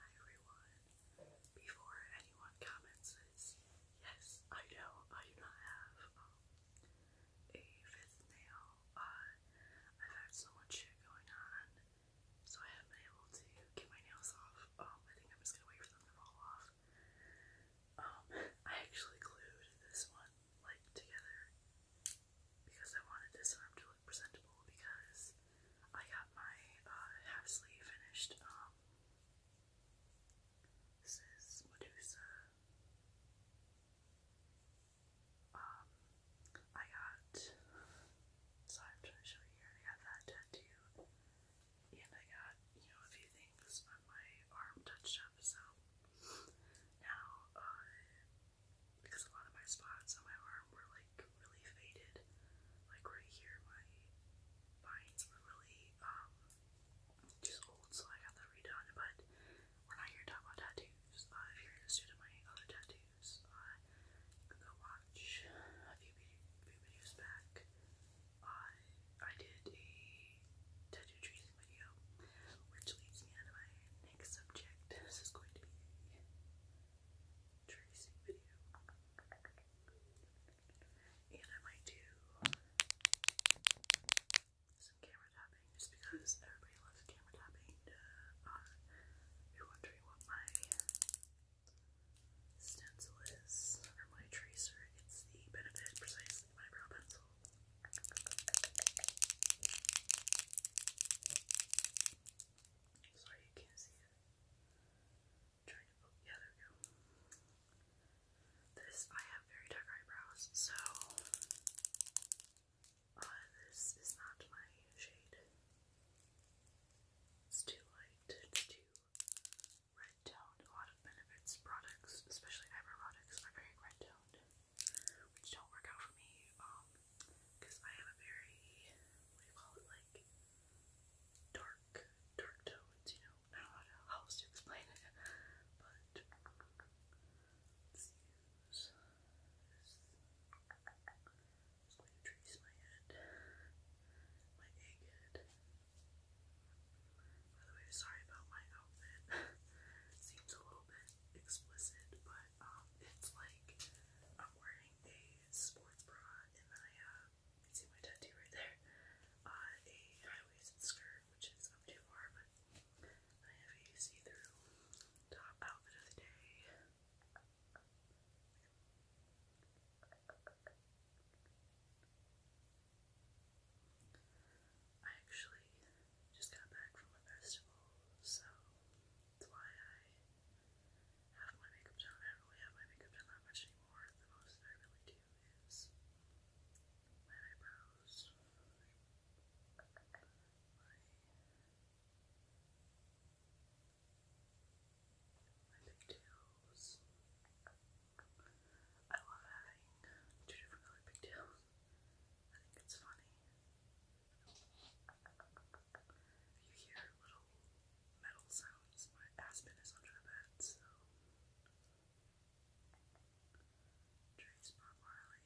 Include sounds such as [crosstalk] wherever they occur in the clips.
Hi everyone. Before anyone comments yes, I know I do not have um, a fifth nail. I've had so much shit going on, so I haven't been able to get my nails off. Um, I think I'm just gonna wait for them to fall off. Um, I actually glued this one like together because I wanted this arm to presentable because I got my uh, half sleeve finished. this um, is Medusa. Um, I got. So I'm trying to show you here. I got that tattoo, and I got you know a few things on my arm touched up. So now uh, because a lot of my spots on my arm were like really faded. Like right here, my vines were really um, just old, so I got that redone. But we're not here to talk about tattoos. Uh, if you're interested my other tattoos, uh, go watch a few, few videos back. Uh, I did a tattoo tracing video, which leads me to my next subject. This is going to be tracing video. And I might do some camera tapping just because everybody loves camera tapping. if uh, you're wondering what my stencil is, or my tracer, it's the Benefit Precisely My Pencil. Sorry, you can't see it. trying to. Oh, yeah, there we This I have very dark eyebrows, so uh, this is not my shade. It's too light. too red toned. A lot of benefits products, especially eyebrow products, are very red toned which don't work out for me, um, because I have a very, what do you call it, like, dark, dark tones, you know, I don't know how else to explain it, but, let's use this, just going to trace my head, my egg head, by the way, sorry about my outfit, [laughs] seems a little bit explicit, but but um, it's like I'm wearing a sports bra and then I uh, you see my tattoo right there, uh, a high-waisted skirt, which is up too far, but I have a see-through top outfit of the day. I actually just got back from a festival, so that's why I have my makeup done. I don't really have my makeup done that much anymore. The most that I really do is my eyebrows, my my pigtails. I love having two different colored pigtails. I think it's funny. You hear little metal sounds. My Aspen is under the bed, so. Trace Bob Marley.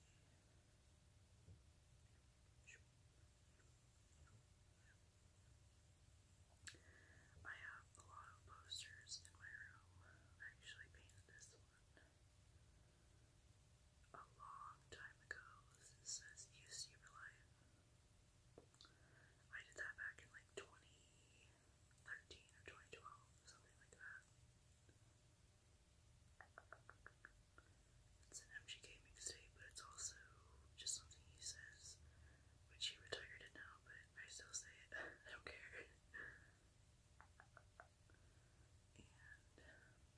I have a lot of posters in my room. I actually painted this one a long time ago. This says UC Reliant. I did that back in like 2013 or 2012, something like that. It's an MGK mixtape, but it's also just something he says, which he retired it now, but I still say it. [laughs] I don't care. And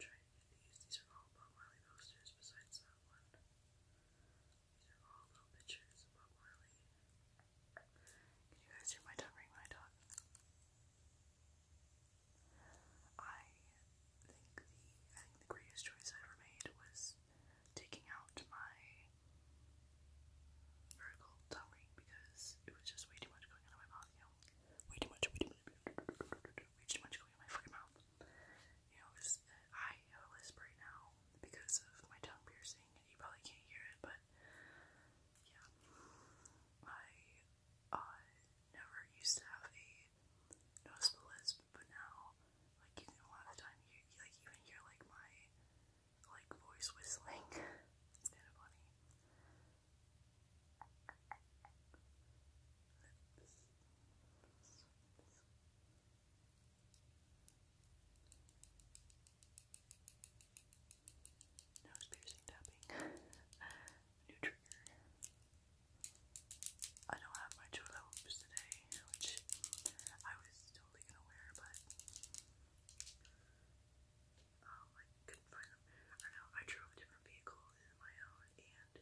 trying to get these. These are all Bob Marley posters besides that one. These are all little pictures of Marley. Can you guys hear my dog ring when I I think the greatest choice I ever made was taking out my vertical tongue ring because it was just way too much going on in my mouth, you know. way too much way too much going in my fucking mouth. You know, uh, I have a lisp now because of my tongue piercing, you probably can't hear it, but yeah. I uh, never used to have a noticeable lisp, but now, like, you a lot of time, you like, even hear, like, my, like, voice whistling. [laughs] it's kind of funny. Nose piercing tapping. [laughs] New trigger. I don't have my Chula hoops today, which I was totally gonna wear, but um, couldn't find them. I know I drove a different vehicle than my own, and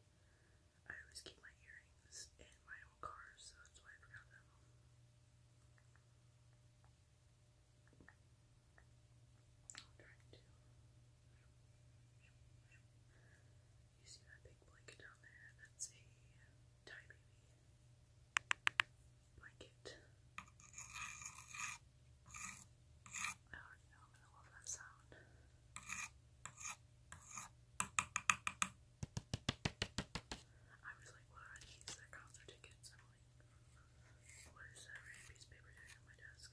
I always keep my earrings in my own car, so that's why I forgot them. am trying to. You see that big blanket down there? That's a tie baby blanket. I already know I'm gonna love that sound. I was like, what are these? are concert tickets. I'm like, what is that red piece of paper doing on my desk?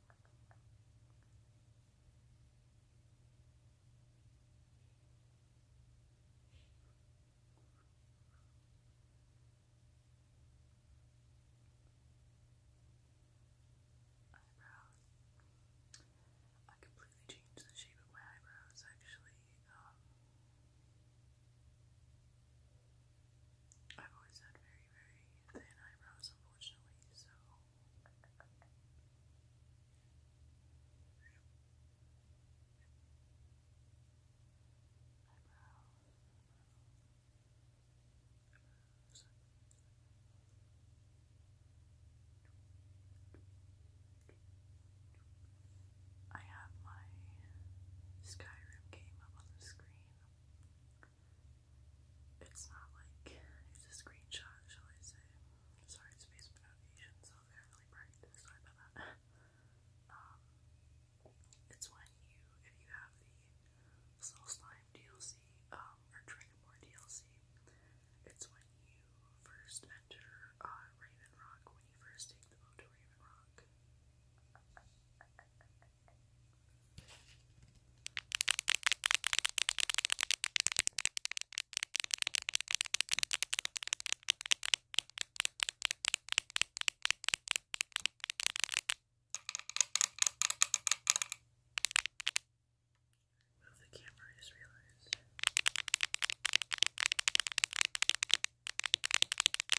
Eyebrows. I completely changed the shape of my eyebrows actually. Um, I've always had very, very thin eyebrows, unfortunately, so. Eyebrows. I have my Skyrim game up on the screen it's not like it's a screenshot, shall I say? Sorry, it's based so I can Sorry about that. Um, it's when you, if you have the Soul Slime DLC um, or Dragonborn DLC, it's when you first enter uh, Raven Rock, when you first take the boat to Raven Rock. Move the camera, I just realized.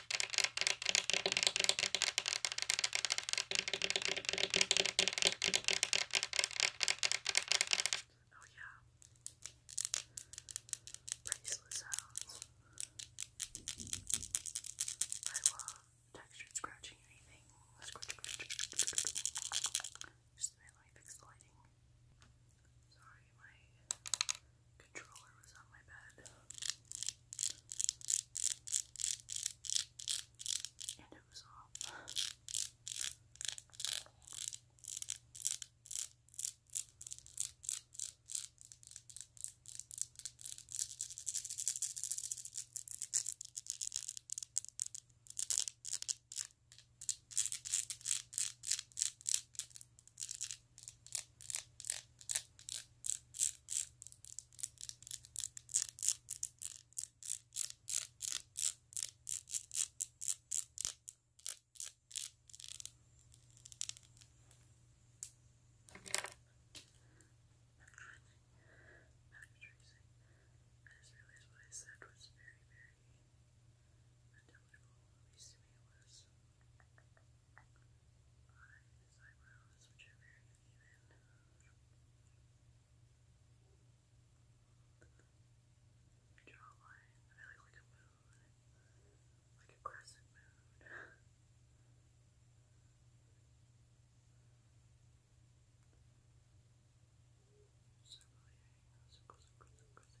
Oh yeah. Bracelet sounds. I love textured scratching anything. Scratch, scratch, scratch, scratch. Just a minute, let me fix the lighting. Sorry. Sorry, my controller was on my bed. And it was off what I said was very, very unintelligible, at least to me it was behind his eyebrows, which are very uneven. Jawline, I feel like a moon, like a crescent moon. Circle, yeah, circle, circle, circle, circle,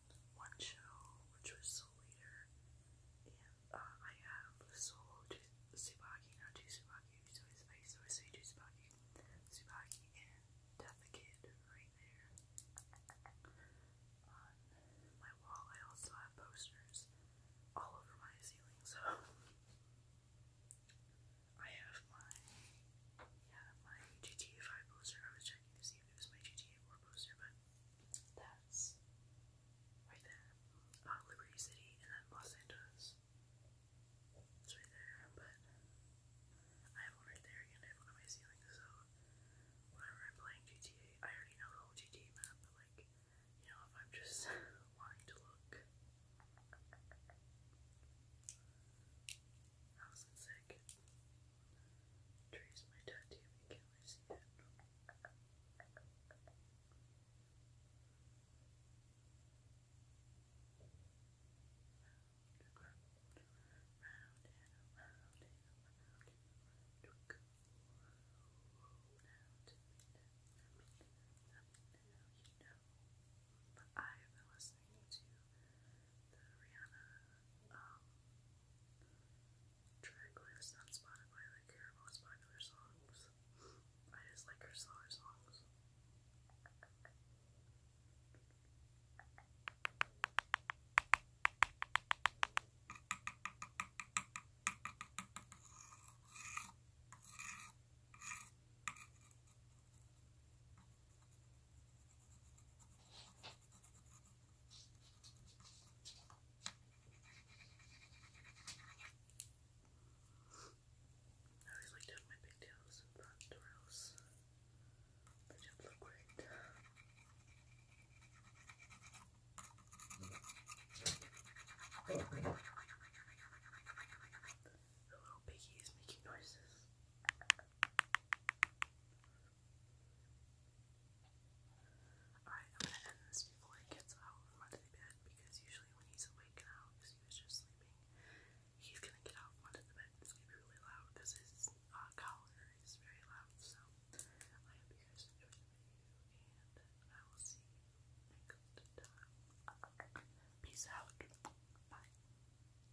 one show, which was Soul Eater, uh, I have Soul Tsubaki, not two Tsubaki, so I always say two Tsubaki, and Death Kid right there. On my wall, I also have posters all over my ceiling, so [laughs] I have my yeah my GTA poster. I was checking to see do lose my GTA 4 poster, but that's right there. Uh, Liberty City and then Los Angeles. It's right there, but I have one right there and one on my ceiling, so whenever I'm playing GTA, I already know the whole GTA map, like, you know, if I'm just [laughs] wanting to look. I was sick. Trace my tattoo, but can I see it? Now, now you know. But I have been listening to the Rihanna um, track list like her most popular songs. I just like her slower songs. I always like my pigtails in front or else they don't look great. The little piggy is making noises. I'm gonna end this before he gets out from under bed because usually when he's awake and because he was just sleeping, he's gonna get out from under bed and it's really loud because his uh, collar is very loud. So I hope you guys enjoyed the video and I will see you next time. Peace out. Bye.